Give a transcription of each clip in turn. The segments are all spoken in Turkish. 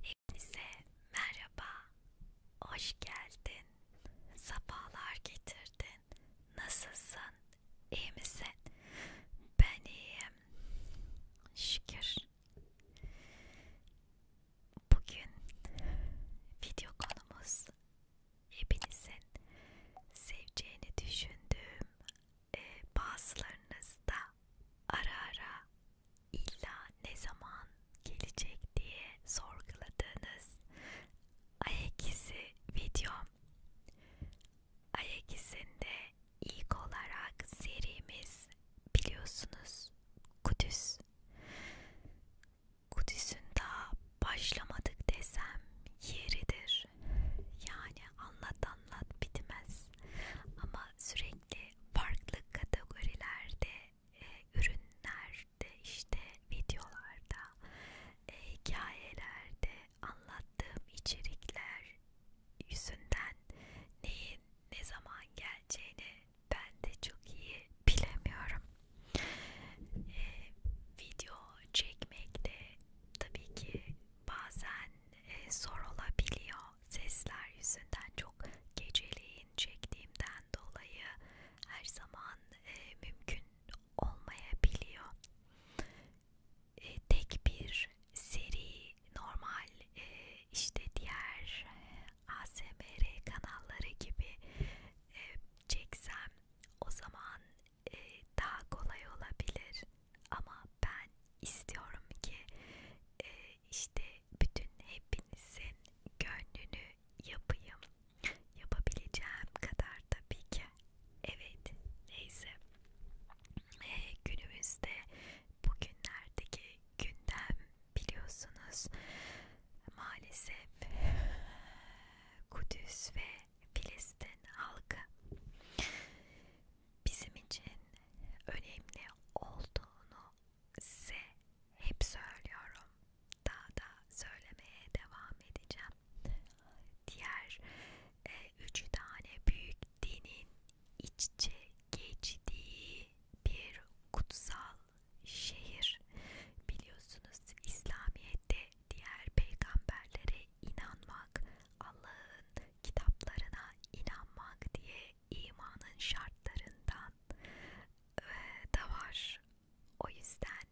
Hepinize merhaba, hoş geldin, safalar getirdin, nasılsın, iyi misin? Ben iyiyim, şükür. Bugün video konumuz hepinizin seveceğini düşündüğüm e, bazılarınız da ara ara illa ne zaman gelecek diye sorguladığınız ayak izi videom. Ayak izinde ilk olarak serimiz biliyorsunuz Kudüs. Kudüs'ün daha başlamadık desem yeridir. Yani anlat anlat bitmez. Ama sürekli farklı kategorilerde, e, ürünlerde, işte videolarda, e, hikayelerde anlattığım içerikler yüzünden neyin ne zaman geleceğini ben de çok iyi bilemiyorum. Ee, video çekmek de tabii ki bazen e, zor olabiliyor. Sesler yüzünden çok geceleyin çektiğimden dolayı her zaman e, mümkün olmayabiliyor. E, tek bir seri normal e, işte diğer ASMR kanalları gibi e, çeksem o zaman e, daha kolay olabilir ama ben istiyorum ki e, işte bütün hepinizin gönlünü yapayım yapabileceğim kadar tabii ki evet neyse e, günümüzde bugünlerdeki gündem biliyorsunuz maalesef Kudüs ve Filistin halkı bizim için önemli olduğunu size hep söylüyorum. Daha da söylemeye devam edeceğim. Diğer e, üç tane büyük dinin iççe geçtiği bir kutsal şehir biliyorsunuz İslamiyet'te diğer peygamberlere inanmak, Allah'ın kitaplarına inanmak diye imanın şartlarından e, da var. O yüzden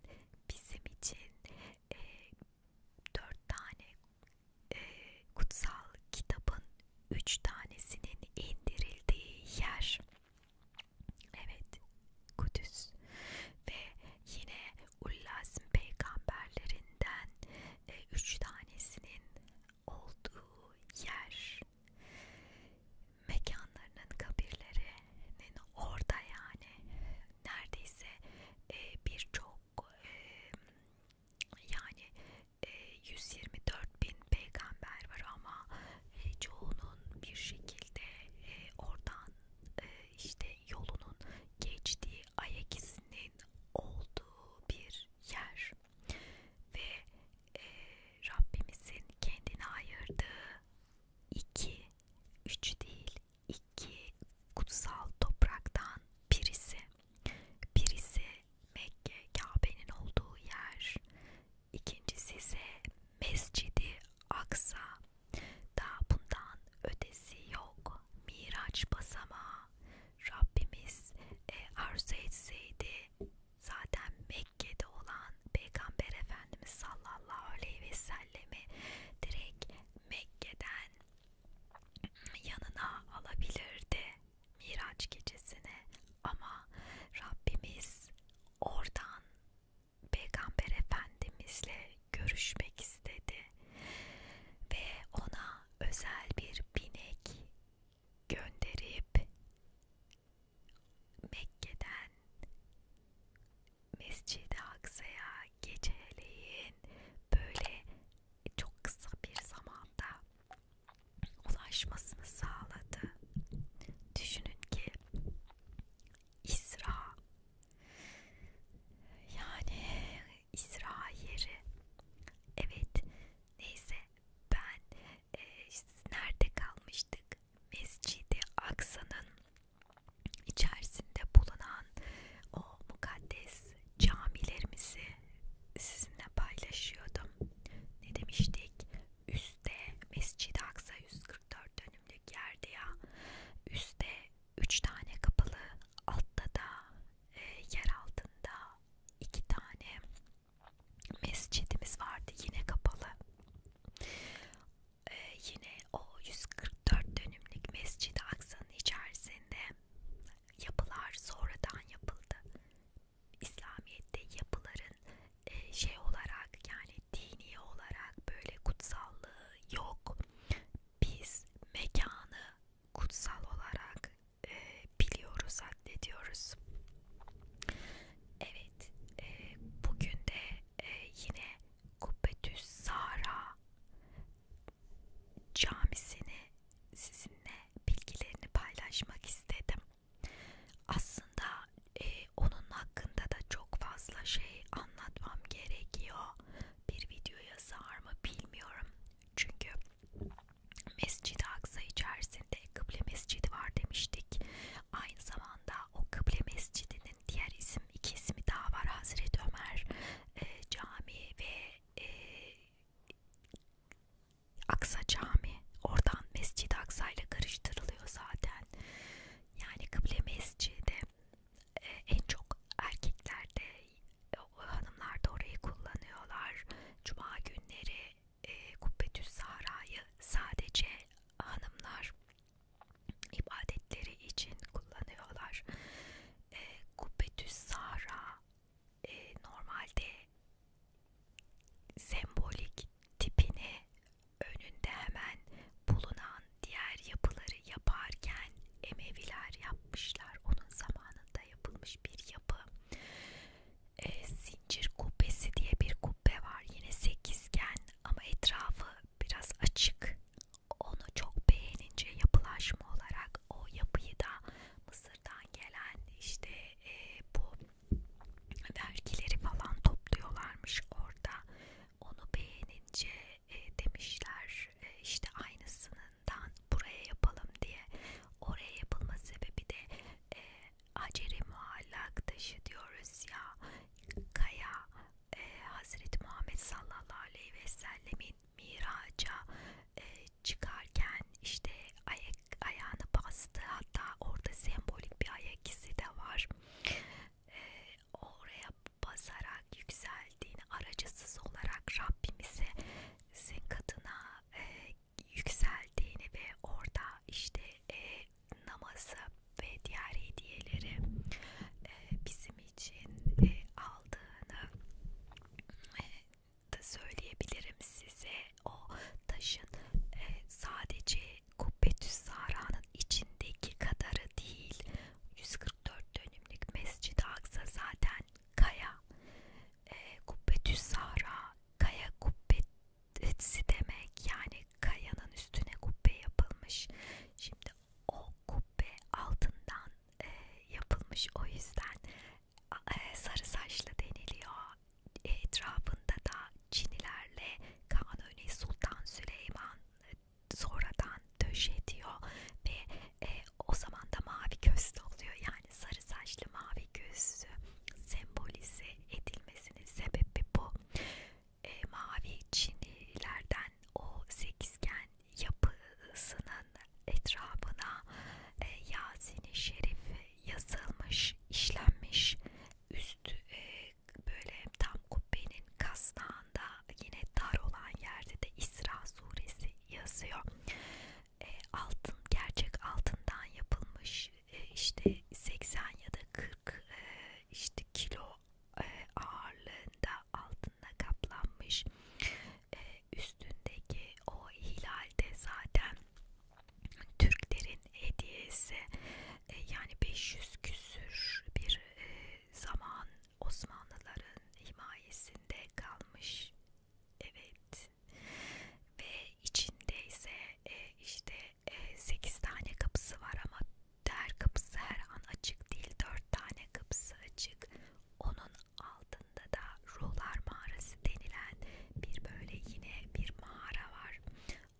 bizim için e, dört tane e, kutsal kitabın üç tanesinin indirildiği yer. Evet, Kudüs ve yine Ullazm peygamberlerinden e, üç tanesinin olduğu yer mekanlarının kabirlerinin orada yani neredeyse e, birçok e, yani e, 124 bin peygamber var ama e, çoğunun bir şekilde e, oradan e, işte yolunun geçtiği ayak izinin olduğu bir yer ve e, Rabbimizin kendine ayırdığı iki, üç değil iki kutsal topraktan birisi. Birisi Mekke, Kabe'nin olduğu yer, İkincisi ise Mescidi Aksa. Daha bundan ötesi yok. Miraç basama. Rabbimiz e, arzu etseydi zaten Mekke'de olan Peygamber Efendimiz sallallahu aleyhi ve sellemi direkt Mekke'den yanına alabilirdi Miraç gecesine ama Rabbimiz oradan Peygamber Efendimizle görüşmek istedi ve ona özel bir binek gönderip Mekke'den Mescid-i Aksa'ya geceleyin böyle çok kısa bir zamanda ulaşmasını sağladı. Düşünün ki İsra yani İsra yeri evet neyse ben e, nerede kalmıştık Mescid-i Aksa'nın içerisinde bulunan o mukaddes camilerimizi sizinle paylaşıyordum ne demiştik üstte Mescid-i Aksa 144 dönümlük yerde ya üstte 3 tane kapalı altta da e, yer altında 2 tane mescidimiz vardı yine kapalı e, yine o 144 dönümlük Mescid-i Aksa'nın içerisinde yapılar sonradan yapıldı İslamiyet'te yapıların e, şey olarak yani dini olarak böyle kutsallığı yok. Biz mekanı kutsal olarak e, biliyoruz, addediyoruz. Evet, e, bugün de e, yine Kubbetüs Sahra camisini sizinle bilgilerini paylaşmak istedim. Aslında e, onun hakkında da çok fazla şey anlatmam gerekiyor. Bir videoya sığar mı bilmiyorum. Çünkü Mescid-i Aksa içerisinde Kıble Mescidi var demiştik. Aynı zamanda o Kıble Mescidi'nin diğer isim, iki ismi daha var. Hazreti Ömer e, Camii ve e, Aksa Cami oradan Mescid-i Aksa ile karıştırılıyor zaten. Yani kıble mescidi e, en çok erkeklerde hanımlar da orayı kullanıyorlar. Cuma günleri e, Kubbetüs Sahra'yı sadece hanımlar ibadetleri için kullanıyorlar. E, Kubbetüs Sahra e, normalde sembolik tipini önünde hemen bulunan diğer yapıları yaparken Emeviler yapmışlar. Onun zamanında yapılmış bir yapı. E, zincir kubbesi diye bir kubbe var. Yine sekizgen ama etrafı biraz açık. Onu çok beğenince yapılaşma olarak o yapıyı da Mısır'dan gelen işte e, bu vergileri falan topluyorlarmış orada. Onu beğenince e, demişler e, işte aynısından buraya yapalım diye. Oraya yapılma sebebi de e, Aceri Muallak taşı diyoruz ya. Kaya e, Hazreti Muhammed sallallahu aleyhi ve sellemin miraca e, çıkarken işte ayağını bastı hatta orada sembolik bir ayak izi de var e, oraya basarak yükseldiğini aracısız olarak Rabbimize sizin katına e, yükseldiğini ve orada işte e, namazı ve diğer hediyeleri e, bizim için e, aldığını e, da söyleyebilirim size o taşın e, sadece Kubbetüs Sara'nın içindeki kadarı değil 144 dönümlük Mescid-i Aksa zaten kaya e, Kubbetüs Sara kaya kubbetsi demek yani kayanın üstüne kubbe yapılmış şimdi o kubbe altından e, yapılmış o yüzden e, sarı saçlı deniliyor. E, etrafında da Çinilerle Kanuni Sultan Süleyman e, sonradan döş ediyor ve e, o zaman da mavi gözlü oluyor. Yani sarı saçlı mavi gözlü sembolize edilmesinin sebebi bu. E, mavi Çinilerden o sekizgen yapısının etrafına e, Yasin-i Şerif yazılmış, işlenmiş üstü e, böyle tam kubbenin kasnağında yine dar olan yerde de İsra suresi yazıyor. E, altın gerçek altından yapılmış e, işte 80 ya da 40 e, işte kilo e, ağırlığında altınla kaplanmış. E, üstündeki o hilal de zaten Türklerin hediyesi e, yani 500 küsür bir e, zaman Osmanlıların himayesinde kalmış. Evet. Ve içinde ise e, işte e, 8 tane kapısı var ama der kapısı her an açık değil. 4 tane kapısı açık. Onun altında da Ruhlar Mağarası denilen bir böyle yine bir mağara var.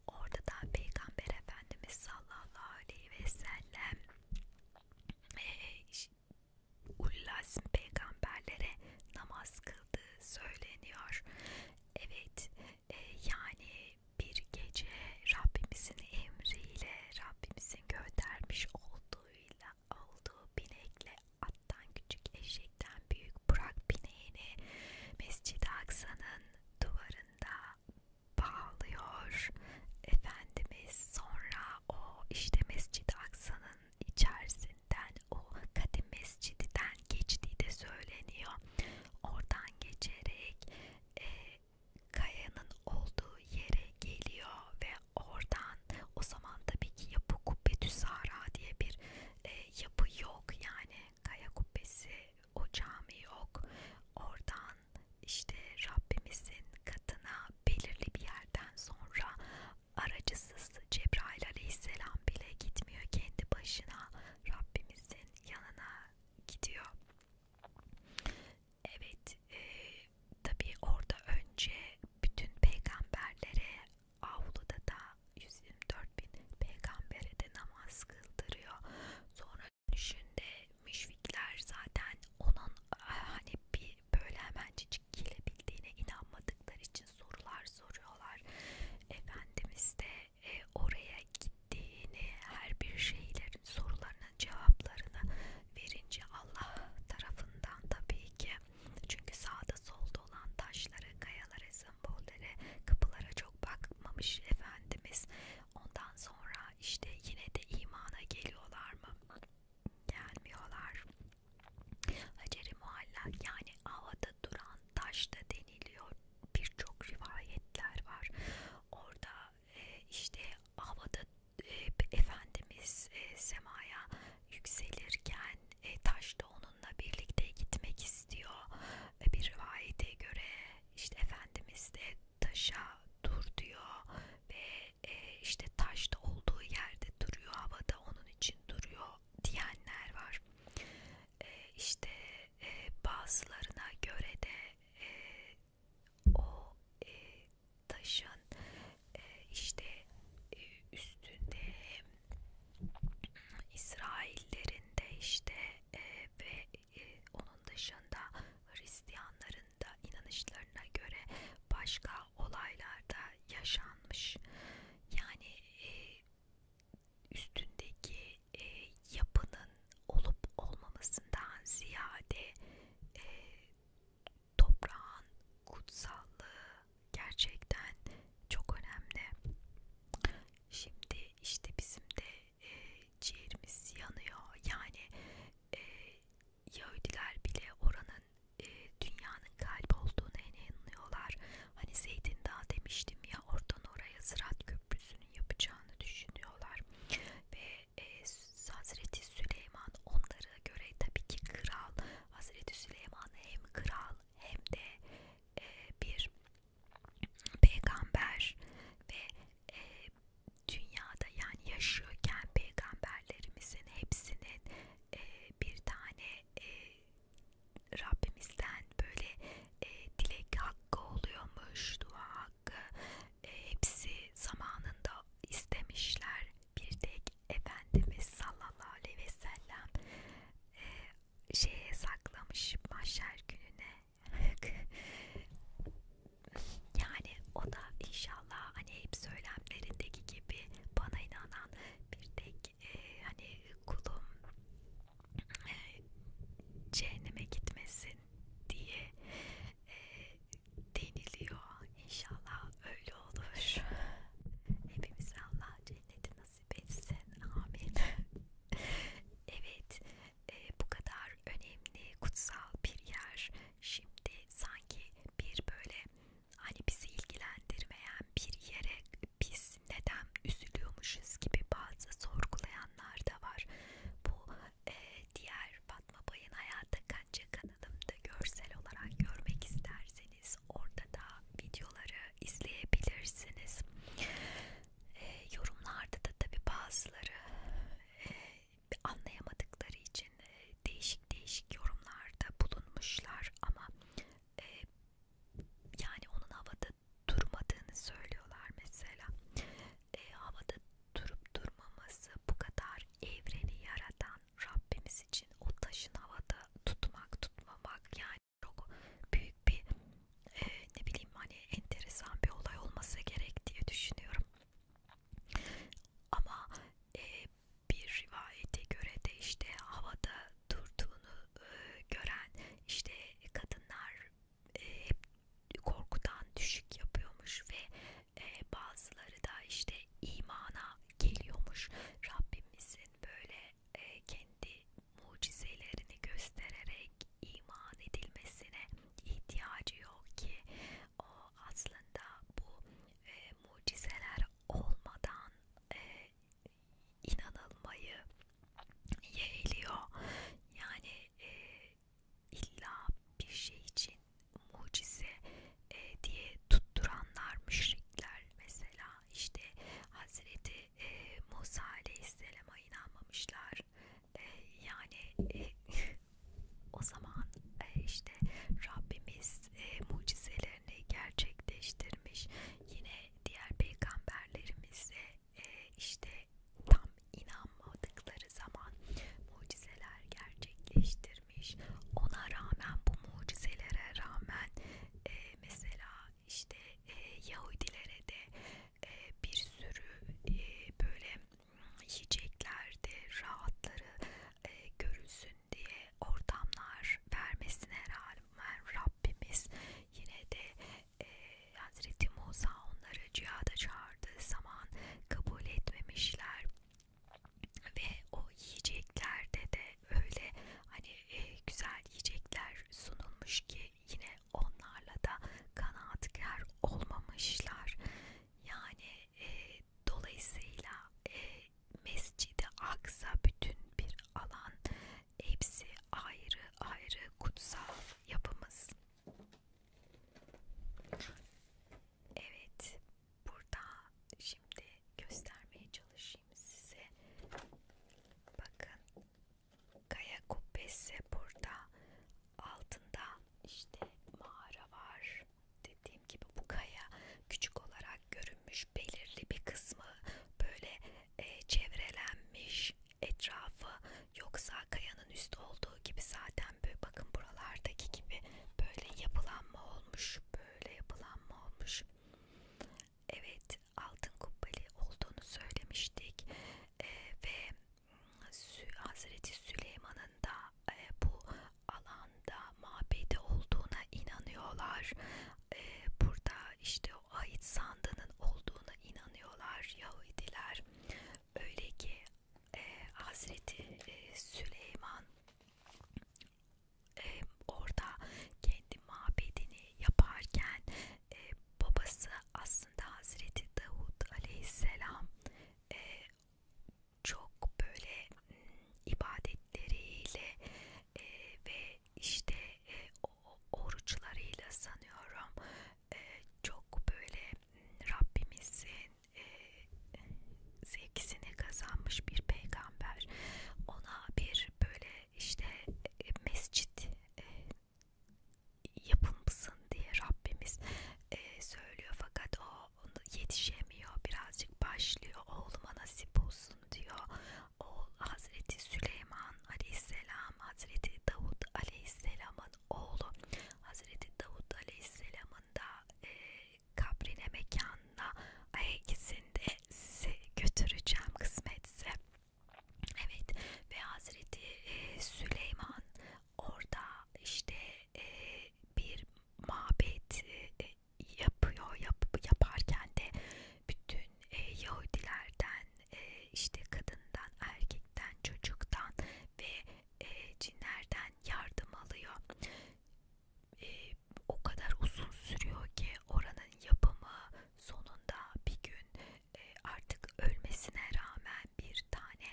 Orada da Peygamber Efendimiz sallallahu aleyhi ve sellem e, Ullazm peygamberlere namaz kıldığı söyleniyor. Evet e, yani bir gece Rabbimizin emriyle Rabbimizin göndermiş olduğuyla olduğu binekle attan küçük eşekten büyük Burak bineğini Mescid-i Aksa'nın duvarında bağlıyor Efendimiz sonra o işte Mescid-i Aksa'nın içerisinden o kadim mescididen geçtiği de söyleniyor oradan geçerek e, kayanın olduğu yere geliyor ve oradan o zaman tabii ki Yapı Kubbetü Sahra diye bir e, yapı yok yani kaya kubbesi o cami yok oradan işte Rabbimizin katına belirli bir yerden sonra aracısız Cebrail aleyhisselam bile gitmiyor kendi başına Rabbimizin yanına gidiyor evet e, tabi orada önce bütün peygamberlere avluda da 124 bin peygambere de namaz kıldırıyor. Sonra dönüşünde müşrikler zaten onun e, hani bir böyle hemencecik gelebildiğine inanmadıkları için sorular soruyorlar. Efendimiz de e, oraya gittiğini, her bir şeylerin sorularının cevaplarını verince Allah tarafından tabii ki çünkü sağda solda olan taşları, kayaları, sembolleri, kapılara çok bakmamış Efendimiz. Ondan sonra işte yine de imana geliyorlar mı? Gelmiyorlar. Hacer-i Muallak yani havada duran taş da deniliyor. Birçok rivayetler var. Orada e, işte havada e, Efendimiz e, semaya yükselirken e, taş da onunla birlikte gitmek istiyor. E, bir rivayete göre işte Efendimiz de taşa dur diyor ve e, işte taş da olduğu yerde duruyor, havada onun için duruyor diyenler var. E, işte e, bazılarına göre de e, o e, taşın e, işte e, üstünde hem İsraillerin de işte e, ve onun dışında Hristiyanların da inanışlarına göre başka olaylarda yaşanmış. Yani üstündeki yapının olup olmamasından ziyade toprağın kutsallığı gerçekten çok önemli. Şimdi işte bizim de e, ciğerimiz yanıyor. Yani e, Yahudiler bile oranın e, dünyanın kalbi olduğuna inanıyorlar. Hani Zeytin Dağı demiştim ya oradan oraya Sırat Köprüsü'nün yapacağını düşünüyorlar. Ve e, Hazreti Süleyman onlara göre tabii ki kral Hazreti Süleyman hem kral hem de e, bir peygamber ve e, dünyada yani yaşıyorken peygamberlerimizin hepsinin e, bir tane e, Rabbimizden böyle e, dilek hakkı oluyormuş, dua hakkı e, hepsi zamanında istemişler bir tek Efendimiz sallallahu aleyhi ve sellem e, şeye saklamış mahşer gününe yani o da inşallah hani hep söylemlerindeki gibi bana inanan bir tek e, hani kulum e, cehenneme gitmesin diye e, deniliyor inşallah öyle olur. Hepimiz Allah cenneti nasip etsin. Amin. evet, e, bu kadar önemli, kutsal bir yer. Şimdi sanki bir böyle hani bizi ilgilendirmeyen bir yere biz neden üzülüyormuşuz gibi bazı sorgulayanlar da var. Bu e, diğer Fatma Bay'ın hayata kanca yayınladığımda görsel olarak görmek isterseniz orada da videoları izleyebilirsiniz. E, yorumlarda da tabi bazıları e, anlayamadıkları için e, değişik değişik yorumlarda bulunmuşlar ama e, yani onun havada durmadığını söylüyorlar mesela. E, havada durup durmaması bu kadar evreni yaratan Rabbimiz için o taşın havada tutmak tutmamak yani çok büyük bir e, ne bileyim hani enteresan bir olay olması gerek diye düşünüyorum. Ama e, bir rivayete göre de işte havada durduğunu e, gören işte kadınlar e, hep korkudan düşük yapıyormuş ve e, bazıları da işte imana geliyormuş. Rabbimizin böyle e, kendi mucizelerini göstererek iman edilmesine ihtiyacı yok ki o aslında bu e, mucizeler olmadan e, inanılmayı yeğliyor. Yani e, illa bir şey için mucize e, diye tutturanlar müşrikler mesela işte Hazreti e, Musa Aleyhisselam'a inanmamışlar e, yani e, o zaman e, işte Rabbimiz e, mucizelerini gerçekleştirmiş yine diğer peygamberlerimize e, işte tam inanmadıkları zaman mucizeler gerçekleştir vermiş. Ona rağmen bu mucizelere rağmen e, mesela işte e, Yahudilere de e, bir sürü e, böyle yiyeceklerde rahatları e, görülsün diye ortamlar vermesine rağmen Rabbimiz yine de e, Hazreti Musa onları cihada çağırdığı zaman kabul etmemişler ve o yiyeceklerde de öyle hani e, güzel yiyecekler sunulmuş ki yine onlarla da kanaatkar olmamışlar yani e, dolayısıyla e, Mescid-i Aksa bütün bir alan hepsi ayrı ayrı kutsal yapımız. Evet, burada şimdi göstermeye çalışayım size. Bakın kaya kubbesi burada altında işte mağara var. Dediğim gibi bu kaya küçük olarak görünmüş belirli bir kısmı böyle e, çevrelenmiş etrafı yoksa kayanın üstü olduğu gibi zaten böyle bakın buralardaki gibi böyle yapılanma olmuş böyle yapılanma olmuş. Evet altın kubbeli olduğunu söylemiştik e, ve ıı, Hazreti Süleyman'ın da e, bu alanda mabedi olduğuna inanıyorlar. E, burada işte o ait sandığının olduğuna inanıyorlar Yahudiler. Öyle ki e, Hazreti e, Süleyman e, orada kendi mabedini yaparken e, babası aslında Hazreti Davud Aleyhisselam e, çok böyle m, hmm, ibadetleriyle e, ve işte e, o, oruçlarıyla sanıyorum e, çok böyle hmm, Rabbimizin e, sevgisini kazanmış bir peygamber ona bir böyle işte e, mescit e, yapılmasın diye Rabbimiz e, söylüyor fakat o yetişemiyor birazcık başlıyor oğluma nasip olsun diyor oğul Hazreti Süleyman Aleyhisselam Hazreti Davut Aleyhisselam'ın oğlu Hazreti Davut Aleyhisselam'ın da e, kabrine mekanına ay ikisinde sizi götüreceğim kısmetse. Evet ve Hazreti e, Süleyman orada işte e, bir mabet e, e, yapıyor yap, yaparken de bütün e, Yahudilerden e, işte kadından erkekten çocuktan ve e, cinlerden yardım alıyor e, o kadar uzun sürüyor ki oranın yapımı sonunda bir gün e, artık ölmesine rağmen bir tane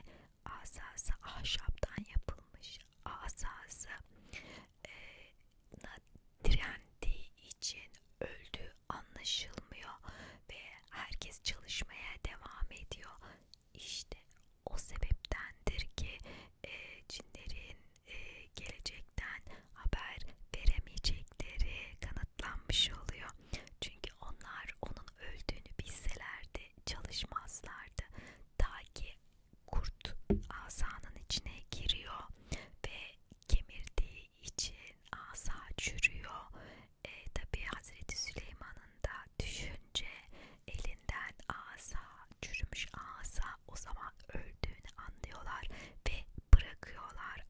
asası ahşaptan yapılmış asası e, direndiği için öldüğü anlaşılmıyor ve herkes çalışmaya devam ediyor. İşte o sebeptendir ki e, cinlerin e, gelecekten haber veremeyecekleri kanıtlanmış oluyor. Çünkü onlar onun öldüğünü bilselerdi çalışmazlardı. Ta ki kurt asanın içine giriyor ve kemirdiği için asa çürüyor. E, Tabi Hazreti Süleyman'ın da düşün görünce elinden asa, çürümüş asa o zaman öldüğünü anlıyorlar ve bırakıyorlar.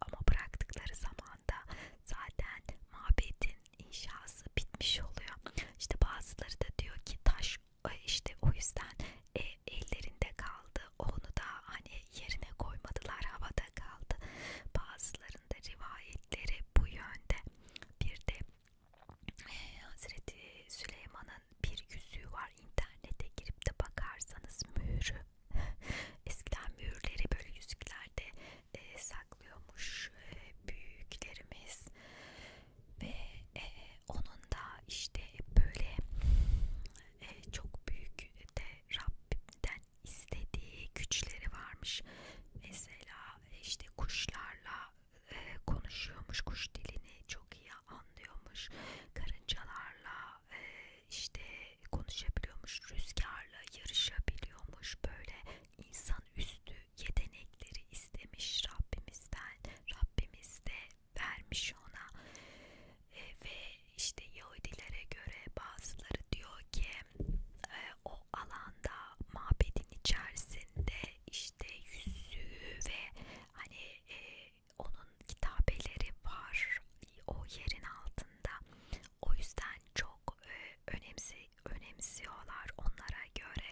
Ama bıraktıkları zaman da zaten mabetin inşası bitmiş oluyor. İşte bazıları da diyor ki taş e, işte o yüzden e, ellerinde kaldı. Onu da hani yerine koymadılar, havada kaldı. Bazılarında rivayetleri bu yönde. Bir de ee, Hazreti Süleyman'ın bir yüzüğü var internete girip de bakarsanız mühürü eskiden mühürleri böyle yüzüklerde e, saklıyormuş e, büyüklerimiz ve e, onun da işte böyle e, çok büyük de Rabbimden istediği güçleri varmış mesela e, işte kuşlarla e, konuşuyormuş kuş dilini çok iyi anlıyormuş karıncalarla e, işte konuşabiliyormuş rüzgarla yarışabiliyormuş böyle insan üstü yetenekleri istemiş Rabbimizden Rabbimiz de vermiş ona e, ve işte Yahudilere göre bazıları diyor ki e, o alanda mabedin içerisinde işte yüzüğü ve hani e, onun kitabeleri var o yerin altında. O yüzden çok e, önemsi önemsiyorlar onlara göre.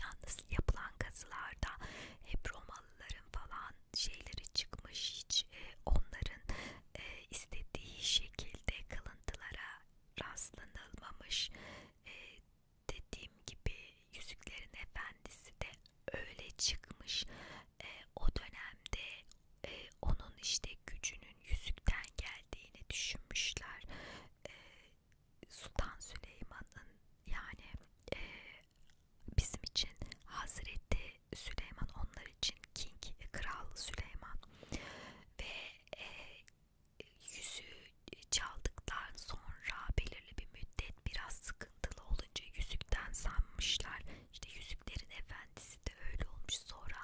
Yalnız yapılan kazılarda hep Romalıların falan şeyleri çıkmış hiç e, onların e, istediği şekilde kılıntılara rastlanılmamış. E, dediğim gibi Yüzüklerin Efendisi de öyle çıkmış. E, o dönemde e, onun işte gücünün yüzükten geldiğini düşünmüşler. E, Sultan Süleyman'ın yani e, bizim için Hazreti Süleyman onlar için King Kral Süleyman ve e, yüzüğü e, çaldıktan sonra belirli bir müddet biraz sıkıntılı olunca yüzükten sanmışlar. İşte yüzüklerin efendisi de öyle olmuş. Sonra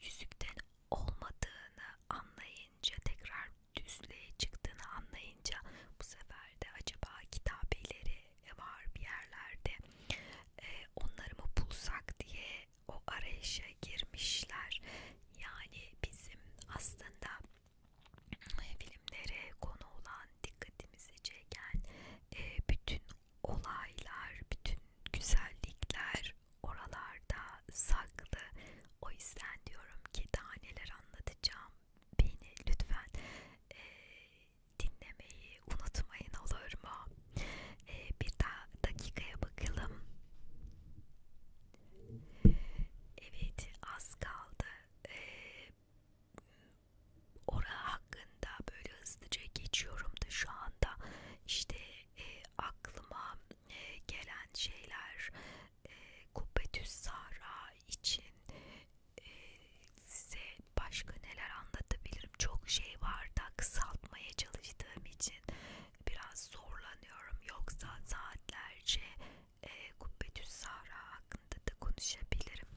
yüzükten olmadığını anlayınca tekrar düzlüğe çıktığını anlayınca bu sefer de acaba kitabeleri var bir yerlerde. Ee, onları mı bulsak diye o arayışa girmişler. Yani bizim aslında e, filmlere konu olan dikkatimizi çeken e, bütün olaylar, bütün güzellikler oralarda saklı. O yüzden diyorum ki daha neler anlatacağım. Beni lütfen e, dinlemeyi unutmayın olur mu? E, bir daha dakikaya bakalım. Evet az kaldı. Ee, Ora hakkında böyle hızlıca geçiyorum da şu anda işte e, aklıma e, gelen şeyler e, Kubbetüs Sahra için e, size başka neler anlatabilirim çok şey var da kısaltmaya çalıştığım için biraz zorlanıyorum yoksa saatlerce e, Kubbetüs Sahra hakkında da konuşabilirim.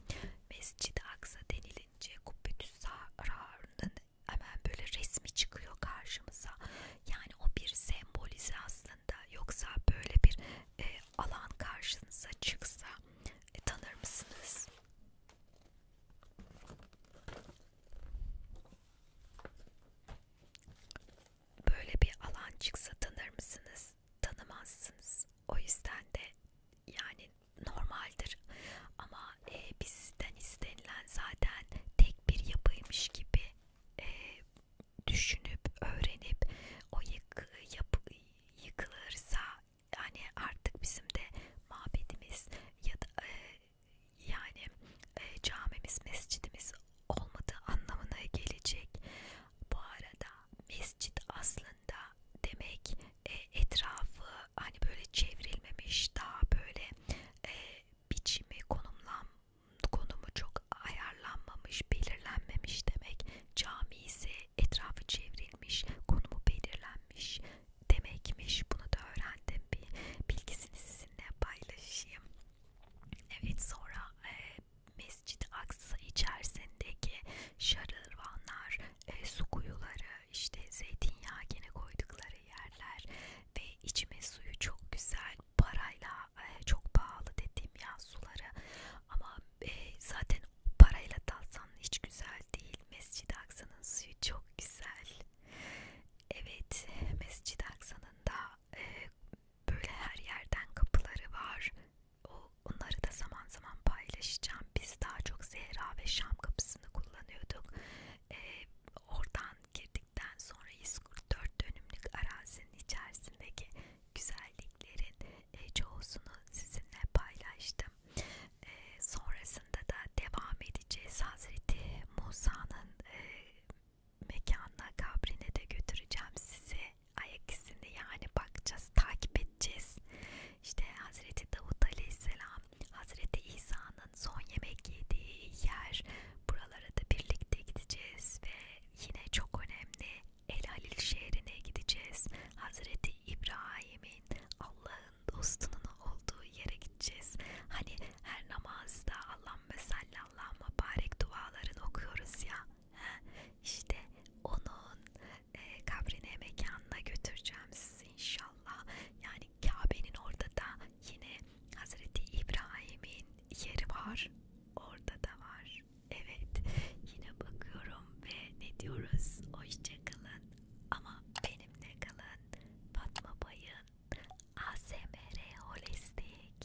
Mescid-i Aksa denilince Kubbetüs Sahra'nın hemen böyle resmi çıkıyor karşımıza. Yani o bir sembolize aslında. Yoksa böyle bir e, alan karşınıza çıksa e, tanır mısınız? böyle bir alan çıksa tanır mısınız? Tanımazsınız. O yüzden de yani normaldir. Ama e, bizden istenilen zaten tek bir yapıymış gibi e, düşünüp öğrenip o yıkı, yapı, yıkılırsa yani artık bizim de mabedimiz ya da e, yani e, camimiz mescidimiz olmadığı anlamına gelecek. Bu arada mescit aslında demek e, etrafı hani böyle çevrilmemiş daha böyle e, biçimi konumlan konumu çok ayarlanmamış belirlenmemiş demek. Cami ise etrafı çevrilmiş konumu belirlenmiş demekmiş. Bunu da öğrendim bir bilgisini size sizinle paylaşayım. Evet sonra e, Mescid-i Aksa içerisindeki şarırvanlar, e, su kuyuları, işte zeytinyağı gene koydukları yerler ve içme suyu çok güzel parayla e, çok pahalı dediğim ya suları ama e, zaten parayla dalsan hiç güzel değil. Mescid-i Aksa'nın suyu çok güzel. Evet, Mescid-i Aksa'nın e, böyle her yerden kapıları var. O, onları da zaman zaman paylaşacağım. Biz daha çok Zehra ve Şam kapısını kullanıyorduk. E, oradan girdikten sonra 144 dönümlük arazinin içerisindeki güzelliklerin e, çoğusunu sizinle paylaştım. E, sonrasında da devam edeceğiz Hazreti Musa'nın e, mekanına kabrine de götüreceğim sizi ayak izini yani bakacağız takip edeceğiz işte Hazreti Davut Aleyhisselam Hazreti İsa'nın son yemek yediği yer buralara da birlikte gideceğiz ve yine çok önemli El Halil şehrine gideceğiz Hazreti İbrahim'in Allah'ın dostunun olduğu yere gideceğiz. Hani her namazda Allahümme sallallahu mübarek dualarını okuyoruz ya. He? İşte onun e, kabrine mekanına götüreceğim sizi inşallah. Yani Kabe'nin orada da yine Hazreti İbrahim'in yeri var. Orada da var. Evet. Yine bakıyorum ve ne diyoruz? Hoşçakalın. Ama benimle kalın. Fatma Bay'ın ASMR Holistik,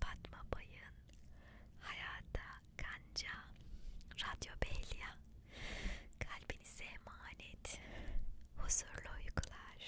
Fatma Bayın, Hayata Kanca, Radyo Belya, kalbinize emanet, huzurlu uykular.